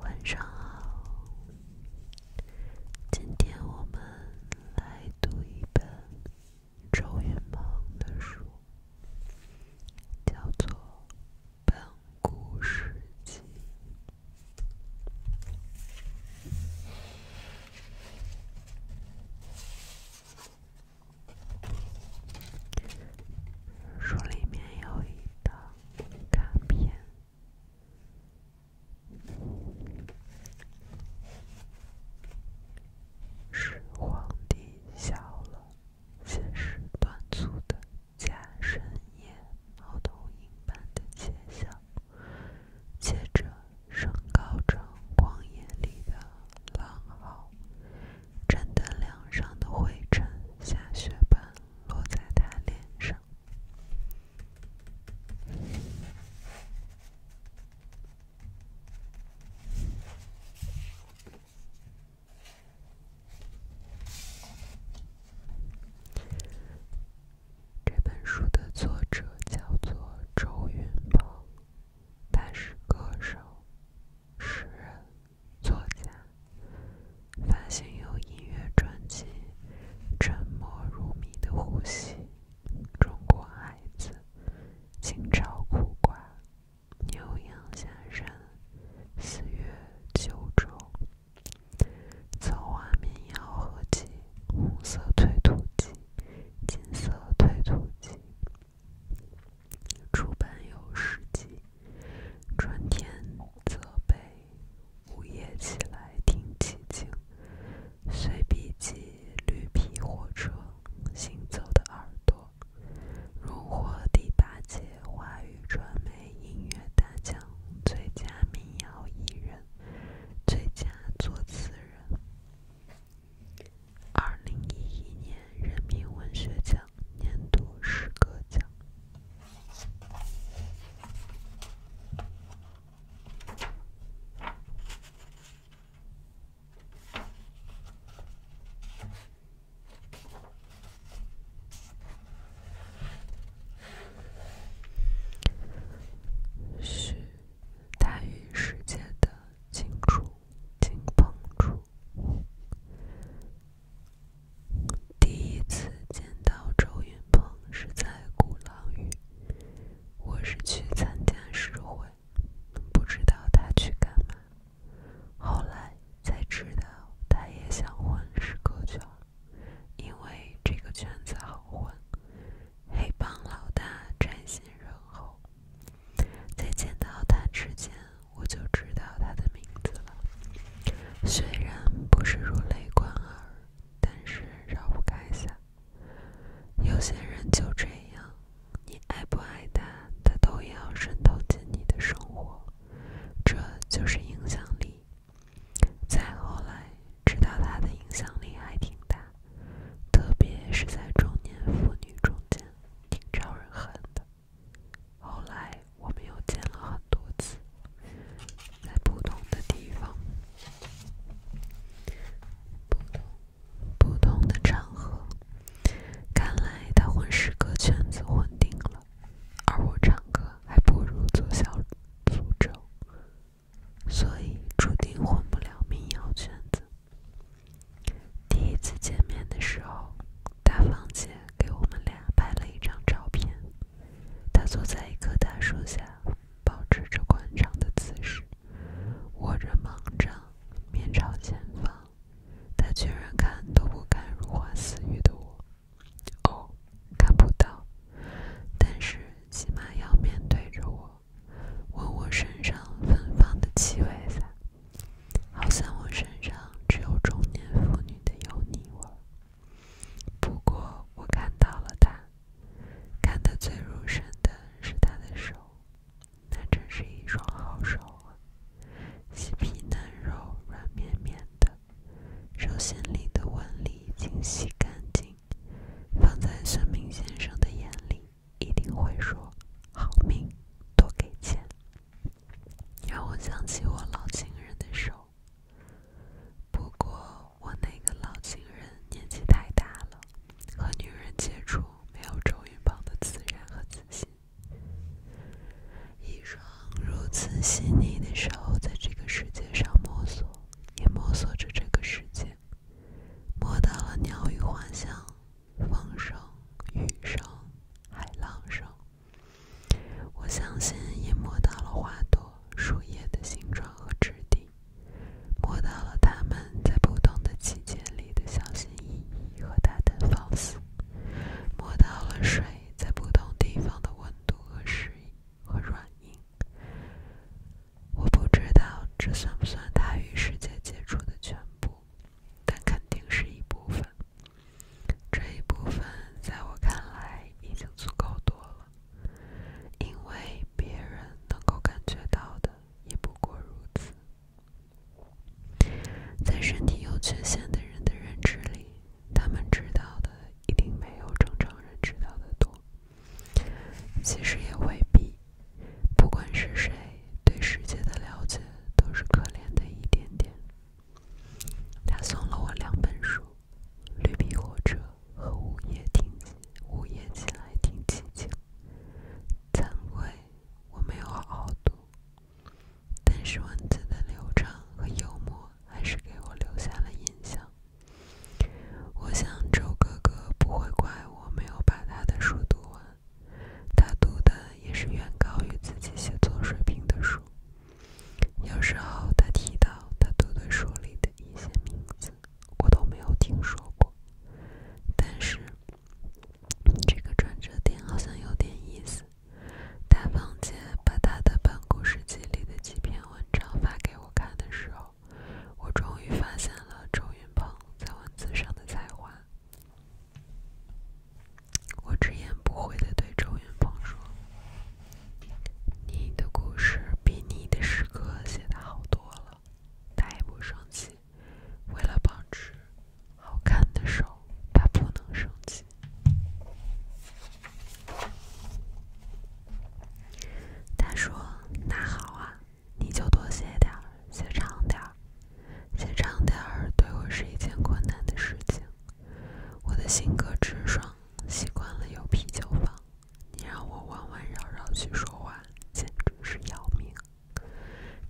晚上好，今天我们来读一本周云蓬的书，叫做《本故事集》。书里面有一段卡片。始皇帝笑了，先是短促的假呻吟般的窃笑，接着升高成狂野里的狼嚎。沾在梁上的灰尘，下雪般落在他脸上。这本书的作者叫做周云鹏，他是歌手。诗人、作家，发行有音乐专辑《沉默如谜的呼吸》《中国孩子》《清朝苦瓜》《牛羊下山》、《四月九州》。草花民谣合集《红色推土机》《金色推土机》。出版有诗集《春天责备》，午夜起来听寂静，随笔集《绿皮火车行走的耳朵》，荣获第八届华语传媒音乐大奖最佳民谣艺人、最佳作词人。二零一一年人民文学奖年度诗歌奖，大的清楚。金彭柱第一次见到周云鹏是在鼓浪屿，我是去参加诗会，不知道他去干嘛，后来才知道他也想混诗歌圈，因为这个圈子好混，黑帮老大真心仁厚。在见到他之前，我就知道他的名字了。虽然不是如雷贯耳，但是绕不开一有些人就这样，你爱不爱他，他都要渗透进你的生活，这就是影响力。再后来，知道他的影响力还挺大，特别是在中年妇女中间。挺招人恨的。后来我们又见了很多次，在不同的地方，不不同的场合。看来他混十个圈子混定了，而我唱歌还不如做小诅咒，所以注定混不了民谣圈子。第一次见面的时候，大芳姐给我们俩拍了一张照片。她坐在一棵大树下，保持着宽敞的姿势，握着盲杖，面朝前方。她居然看都不敢如花似玉的我。哦，看不到，但是起码要面对着我。闻我身上芬芳的气味吧，好像我身上只有中年妇女的油腻味。不过我看到了他，看得最入神的是他的手，那真是一双好手啊，细皮嫩肉，软绵绵的，手心里的纹理清晰。干净，放在算命先生的眼里。一定会说好命，多给钱。让我想起我老情人的手，不过我那个老情人年纪太大了，和女人接触没有周云鹏的自然和自信。一双如此细腻的手，在这个世界上摸索，也摸索着这个世界，摸到了鸟语花香。风声、雨声、海浪声，我相信也摸到了花朵、树叶的形状和质地，摸到了它们在不同的季节里的小心翼翼和大胆放肆，摸到了水在不同地方的温度和应和软硬。我不知道这算不算他与世界接触的全部，但肯定是一部分。这一部分在我看来已经足够多了，因为别人能够感觉到的也不过如此。在身体有缺陷的人的认知里，他们知道的一定没有正常人知道的多。其实也未必。不管是谁，对世界的了解都是可怜的一点点。他送了我两本书，《绿皮火车》和《午夜听午夜起来听寂静》。惭愧，我没有好好读，但是文字的流畅和幽默还是给我留下了印象。我想周哥哥不会怪我没有把他的书读完。他读的也是远高于自己写作水平的书。有时候他提到他读的书里的一些名字，我都没有听说过。但是这个转折点好像有点意思。大胖姐把她的办公室集里的几篇文章发给我看的时候，我终于发现了周云鹏。在文字上的才华，我直言不讳的对周云鹏说：“你的故事比你的诗歌写的好多了。”他也不生气，为了保持好看的手，他不能生气。他说：“那好啊。”你就多写点儿，写长点儿，写长点儿对我是一件困难的事情。我的性格直爽，习惯了有啤酒放，你让我弯弯绕绕去说话，简直是要命。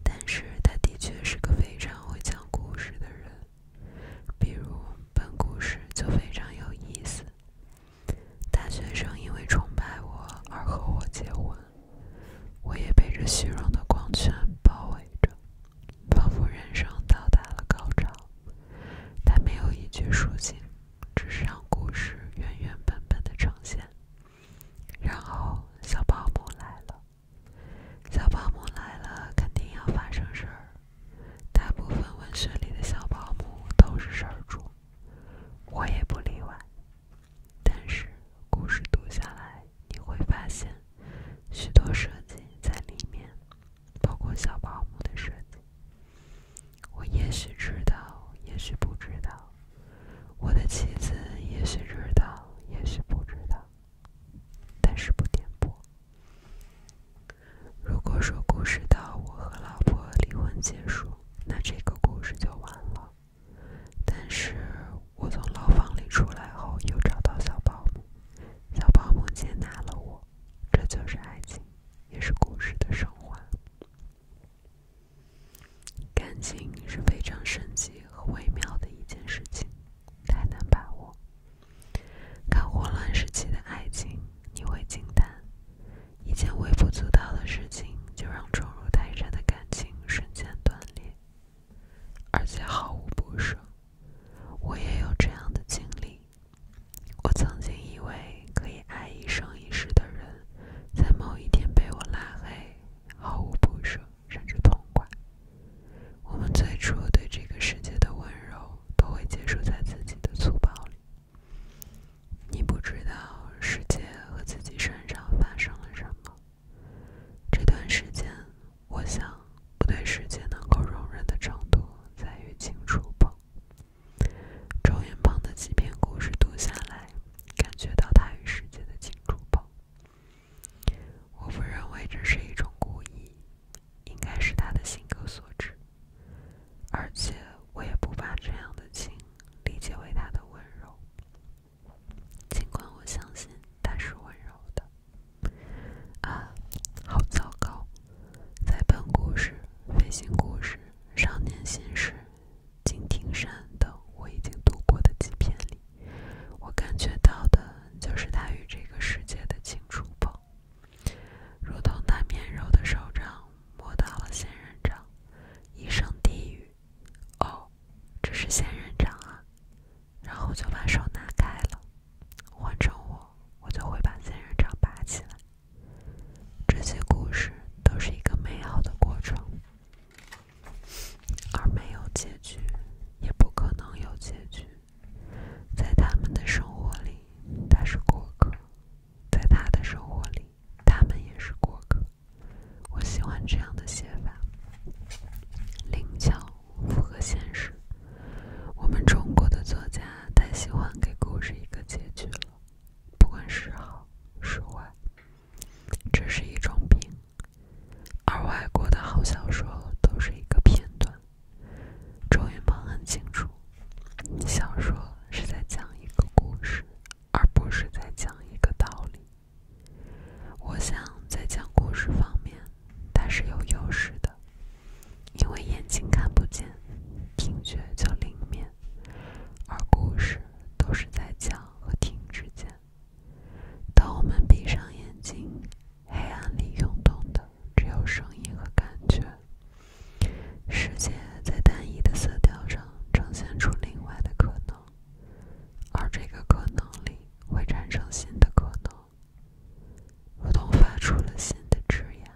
但是他的确是个非常会讲故事的人，比如本故事就非常有意思。大学生因为崇拜我而和我结婚。我也被这虚荣的光圈包围着，仿佛人生到达了高潮。他没有一句抒情，只是让故事原原本本的呈现。然后小保姆来了，小保姆来了，肯定要发生事儿。大部分文学里的小保姆都是事儿主，我也不例外。但是，故事读下来，你会发现许多设计在里面，包括小保姆的设计。我也许知道，也许不知道；我的妻子也许知道，也许不知道。但是不点破。如果说故事到我和老婆离婚结束，那这个故事就完了。但是我从牢房里出来后，又找到小保姆，小保姆接纳了我。这就是爱情，也是故事的升华。感情是非常神奇和微妙的一件事情，太难把握。看霍乱时期的爱情，你会惊叹。一件微不足道的事情，就让重如泰山的感情瞬间断裂，而且毫无不舍。我也有这样的经历。我曾经以为可以爱一生一世的人，在某一天被我拉黑，毫无不舍，甚至痛快。我们最初对这个世界的温柔，都会结束在自己的粗暴里。你不知道世界和自己身上发生了什么。这段时间，我想不对世界能够容忍的程度在于情。珠宝。周云鹏的几篇故事读下来，感觉到他与世界的金珠宝。我不认为这是一种故意，应该是他的性格所致。而且，我也不把这样的情理解为他的温柔。尽管我相信他是温柔的，啊，好糟糕！在本故事、飞行故事、少年心事、敬亭山等我已经读过的几篇里，我感觉到的就是他与这个世界的情触碰，如同他绵柔的手掌摸到了仙人掌，一声低语。哦，这是仙人掌啊，然后就把手拿开了。换成我，我就会把仙人掌拔起来。这些故事都是一个美好的过程，而没有结局，也不可能有结局。在他们的生活里，他是过客；在他的生活里。他们也是过客，我喜欢这样的写法，灵巧，符合现实。我们中国的作家太喜欢给故事一个结局了，不管是好是坏，这是一种病。而外国的好小说都是一个片段。周云鹏很清楚，小说是在讲一个故事。而不是在讲一个道理。我想在讲故事方面，它是有优势的，因为眼睛看不见，听觉就灵敏，而故事都是在讲和听之间。当我们闭上眼睛，黑暗里涌动的只有声音和感觉，世界在单一的色调上。呈现出另外的可能，而这个可能里会产生新的可能，如同发出了新的枝芽。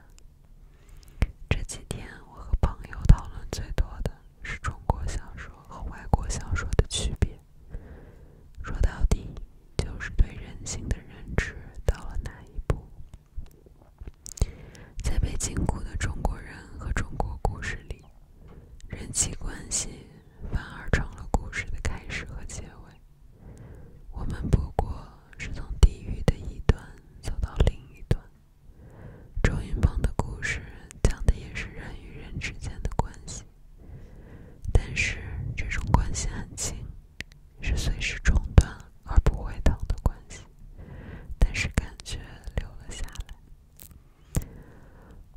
这几天，我和朋友讨论最多的是中国小说和外国小说的区别，说到底就是对人性的认知到了哪一步。在被禁锢的中国人和中国故事里，人际关系反而成了故事的开始和结尾。我们不过是从地狱的一端走到另一端。周云蓬的故事讲的也是人与人之间的关系，但是这种关系很轻，是随时中断而不会疼的关系，但是感觉留了下来。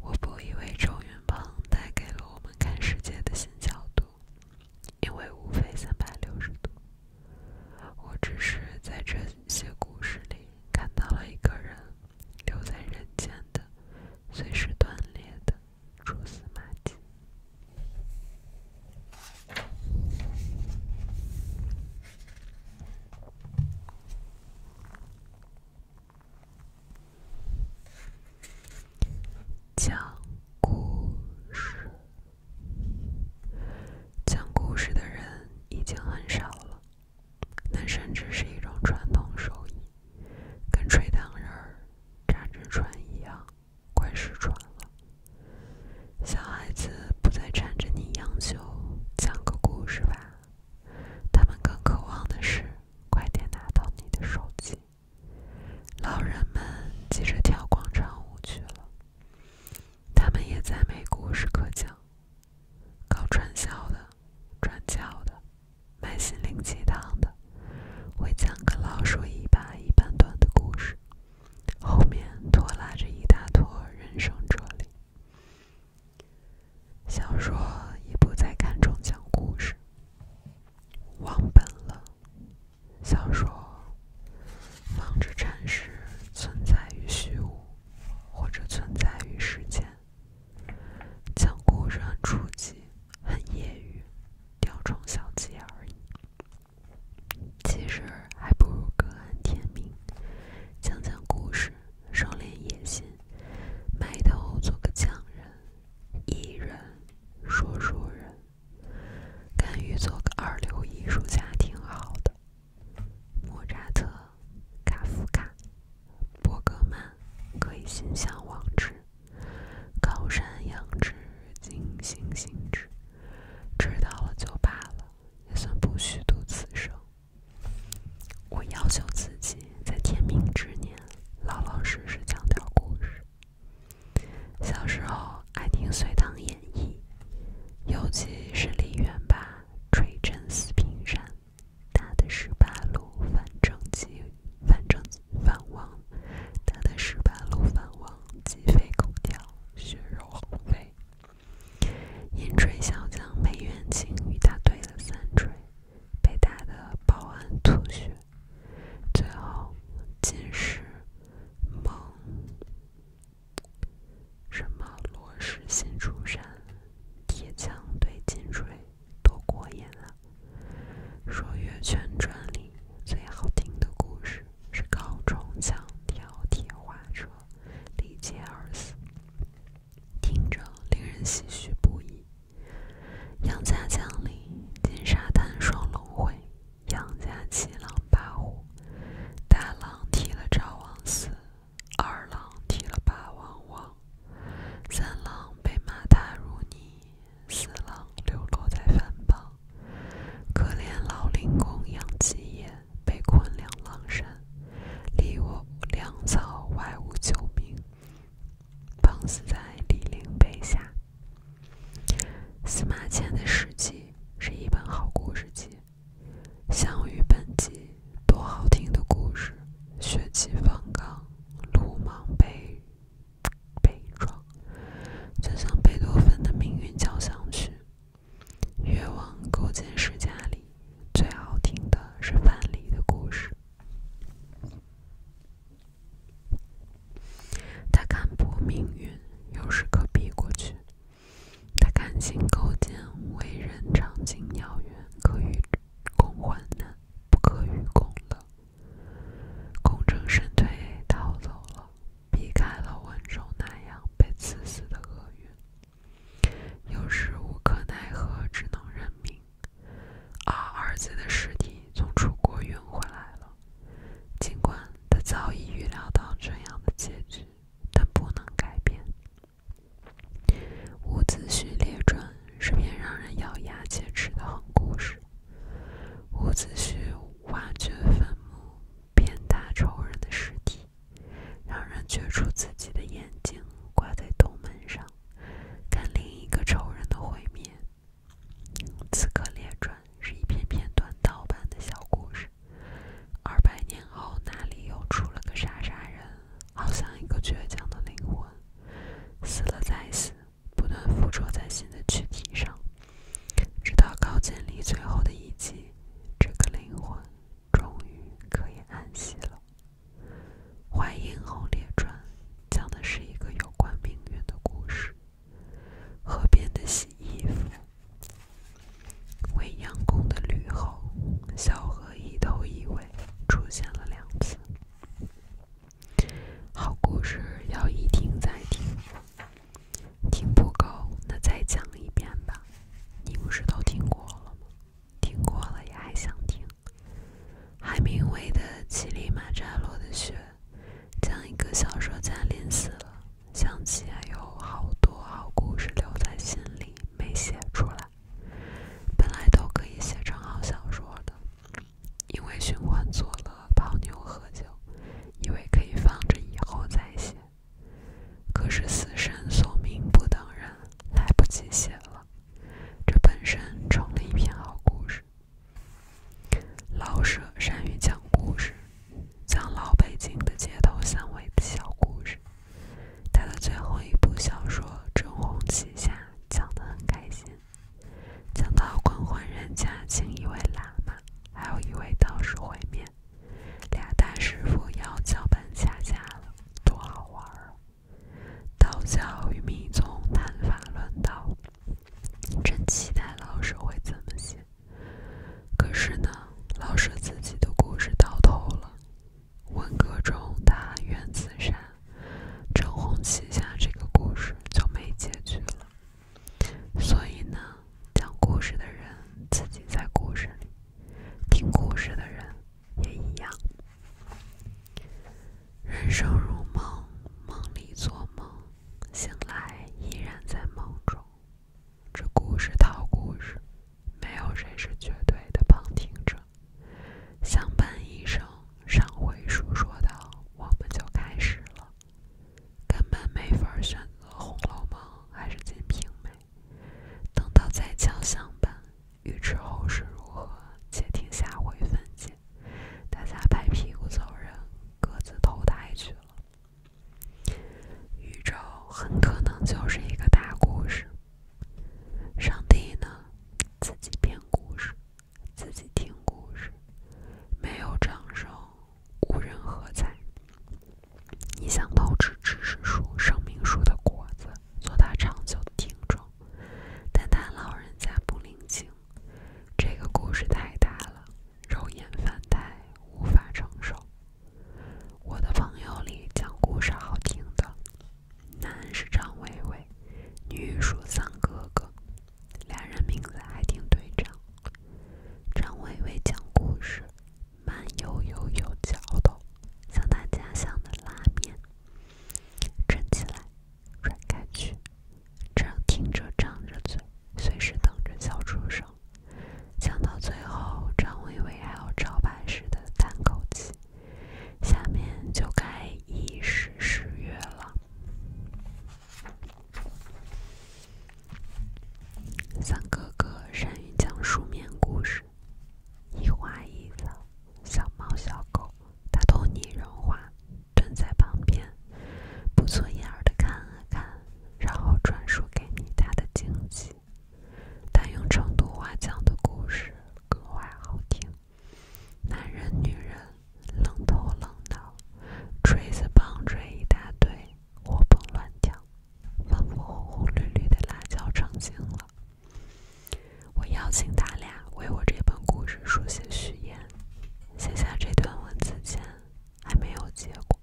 我不以为周云蓬带给了我们看世界的新角度，因为无非三百六十度。我只是在这些故事里看到了一个人留在人间的随时断裂的蛛丝马迹。讲故事，讲故事的人已经很少了。那甚至是一种传统手艺，跟吹糖人、儿扎纸船一样，快失传了。小孩子不再缠着你央求讲个故事吧，他们更渴望的是快点拿到你的手机。老人们急着跳广场舞去了，他们也再没故事可讲。搞传销的、转教的、卖心灵鸡汤的，会讲个老鼠尾巴一般短的故事，后面拖拉着一大坨人生哲理。小说已不再看重讲故事，忘本了。小说忙着阐释存在于虚无，或者存在于时间。讲故事很初级，很业余，雕虫小技而已。其实还不如各安天命，讲讲故事，收敛野心，埋头做个匠人、艺人、说书人，甘于做个二流艺术家挺好的。莫扎特、卡夫卡、伯格曼，可以心向往之。高山仰止，景行行止，知道了就罢了。也算不虚度此生。我要求自己在天命之年，老老实实讲点故事。小时候爱听《隋唐演义》，尤其是李元霸锤震四平山，他的十八路反征集反正反王，他的十八路反王鸡飞狗跳，血肉横飞。银锤小将梅元清与他对了三锤，被打得抱鞍吐血。最后，竟是猛，什么罗石新出山，铁枪对金锤，多过瘾啊！说月泉传里最好听的故事是高中枪挑铁花车。力竭而死，听着令人唏嘘不已。杨家将里金沙滩双龙会，杨家七郎八虎，大郎踢了赵王死，二郎踢了八王亡，三郎被马踏如泥，四郎流落在番邦，可怜老林公养鸡也。被困两郎山，离我粮草外无救兵，绑死在李陵碑下。司马迁的《史记》是一本好故事集，《项羽本纪》多好听的故事，血气方刚，鲁莽被被撞，就像贝多芬的《命运交响曲》。《越王勾践世家里最好听的是范蠡的故事。他看破命运，有时可避过去。他看清勾践为人长情鸟远，可与共患难，不可与共的。功成身退，逃走了。避开了温州那样被刺死的厄运，有时无可奈何，只能认命。啊，儿子的尸体从楚国运回来了，尽管他早已预料到这样的结局，但不能改变。伍子胥列传是篇让人咬牙切齿的狠故事。伍子胥挖掘坟墓，鞭打仇人的尸体。让人觉出自己的眼睛，挂在洞门上，看另一个仇人的毁灭。《刺客列传》是一篇篇短道版的小故事。二百年后，哪里又出了个傻傻人？好像一个倔强的灵魂，死了再死，不断附着在新的躯体上，直到高渐离最后的一击，这个灵魂。终于可以安息了。《淮阴侯列传》讲的是一个有关命运的故事。河边的洗衣服，未央宫的吕后，小河一头一尾出现了两次。好故事要一听再听。听不够，那再讲一遍吧。你不是都听过了吗？听过了也还想听。海明威的《乞力马扎罗的雪》，将一个小说家淋死了。想起还有好多好故事留在心里没写出来，本来都可以写成好小说的，因为寻欢作乐、泡妞喝酒，以为可以放着以后再写。可是死神索命不等人，来不及写了。这本身成了一篇好故事。老舍善于讲故事，讲老北京的街头巷尾的小故事。他的最后一部小说《正红旗下》讲得很开心，讲到官宦人家请一位喇嘛，还有一位道士会面。俩大师傅要交班下架了，多好玩儿！道教与密宗谈法论道，真期待老师会怎么写。可是呢，老师自己的故事到头了，文革中他冤自善，招红旗下这个故事就没结局了。所以呢？讲故事的人自己在故事里，听故事的人也一样。人生如梦，梦里做梦，醒来依然在梦中。这故事套故事，没有谁是绝对的旁听者。相伴一生，上回书说到，我们就开始了。根本没法选择《红楼梦》还是《金瓶梅》，等到再将相伴。欲知后事如何，且听下回分解。大家拍屁股走人，各自投胎去了。宇宙很可能就是一个大故事，上帝呢，自己编故事，自己听故事，没有掌声。无人喝彩。你想偷吃知识树、生命树的果子，做它长久的听众，但他老人家不领情。这个故事太大了，肉眼凡胎无法承受。我的朋友里讲故事好听的，男是张巍巍，女属张哥哥，俩人名字还挺对仗。张巍巍讲故事。慢悠悠、有嚼头，像他家乡的拉面。撑起来，甩开去，这样听着张着嘴，随时等着笑出声。讲到最后，张微微还有招牌式的叹口气。下面就该一时失月了。三哥哥善于讲书面故事，一花一草，小猫小狗，他都拟人化，蹲在旁边，不错眼儿的看了看，然后转述给你他的惊喜。但用成都话讲的故事格外好听，男人女人，冷头冷脑，锤子棒槌一大堆，活蹦乱跳。仿佛红红绿绿的辣椒成精了。我邀请他俩为我这本故事书写序言。写下这段文字前还没有结果，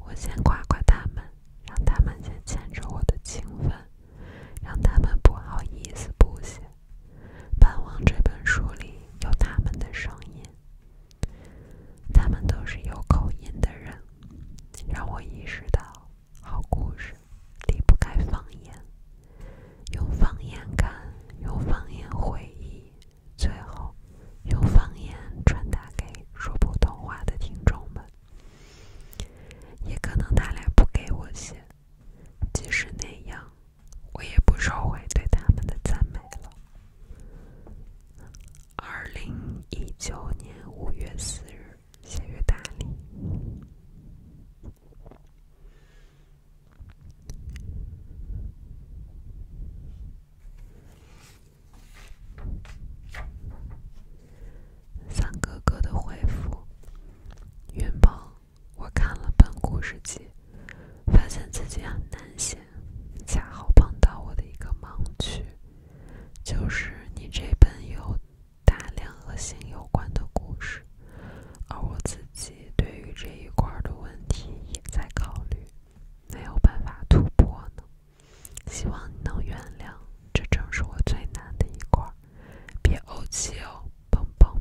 我先夸夸他们，让他们先牵着我的情分，让他们不好意思不写。盼望这本书里有他们的声音。他们都是有口音的人，让我意识到，好故事离不开方言，用方言感，用方言回忆，最后用方言传达给说普通话的听众们。也可能他俩不给我写，即使那样，我也不收回对他们的赞美了。二零一九年五月四日，写于大理。三哥哥的回复：云鹏，我看了本故事集，发现自己很难写。恰好碰到我的一个盲区，就是你这本有大量恶性有关的故事，而我自己对于这一块儿的问题也在考虑，没有办法突破呢。希望你能原谅，这正是我最难的一块儿，别怄气哦，砰砰。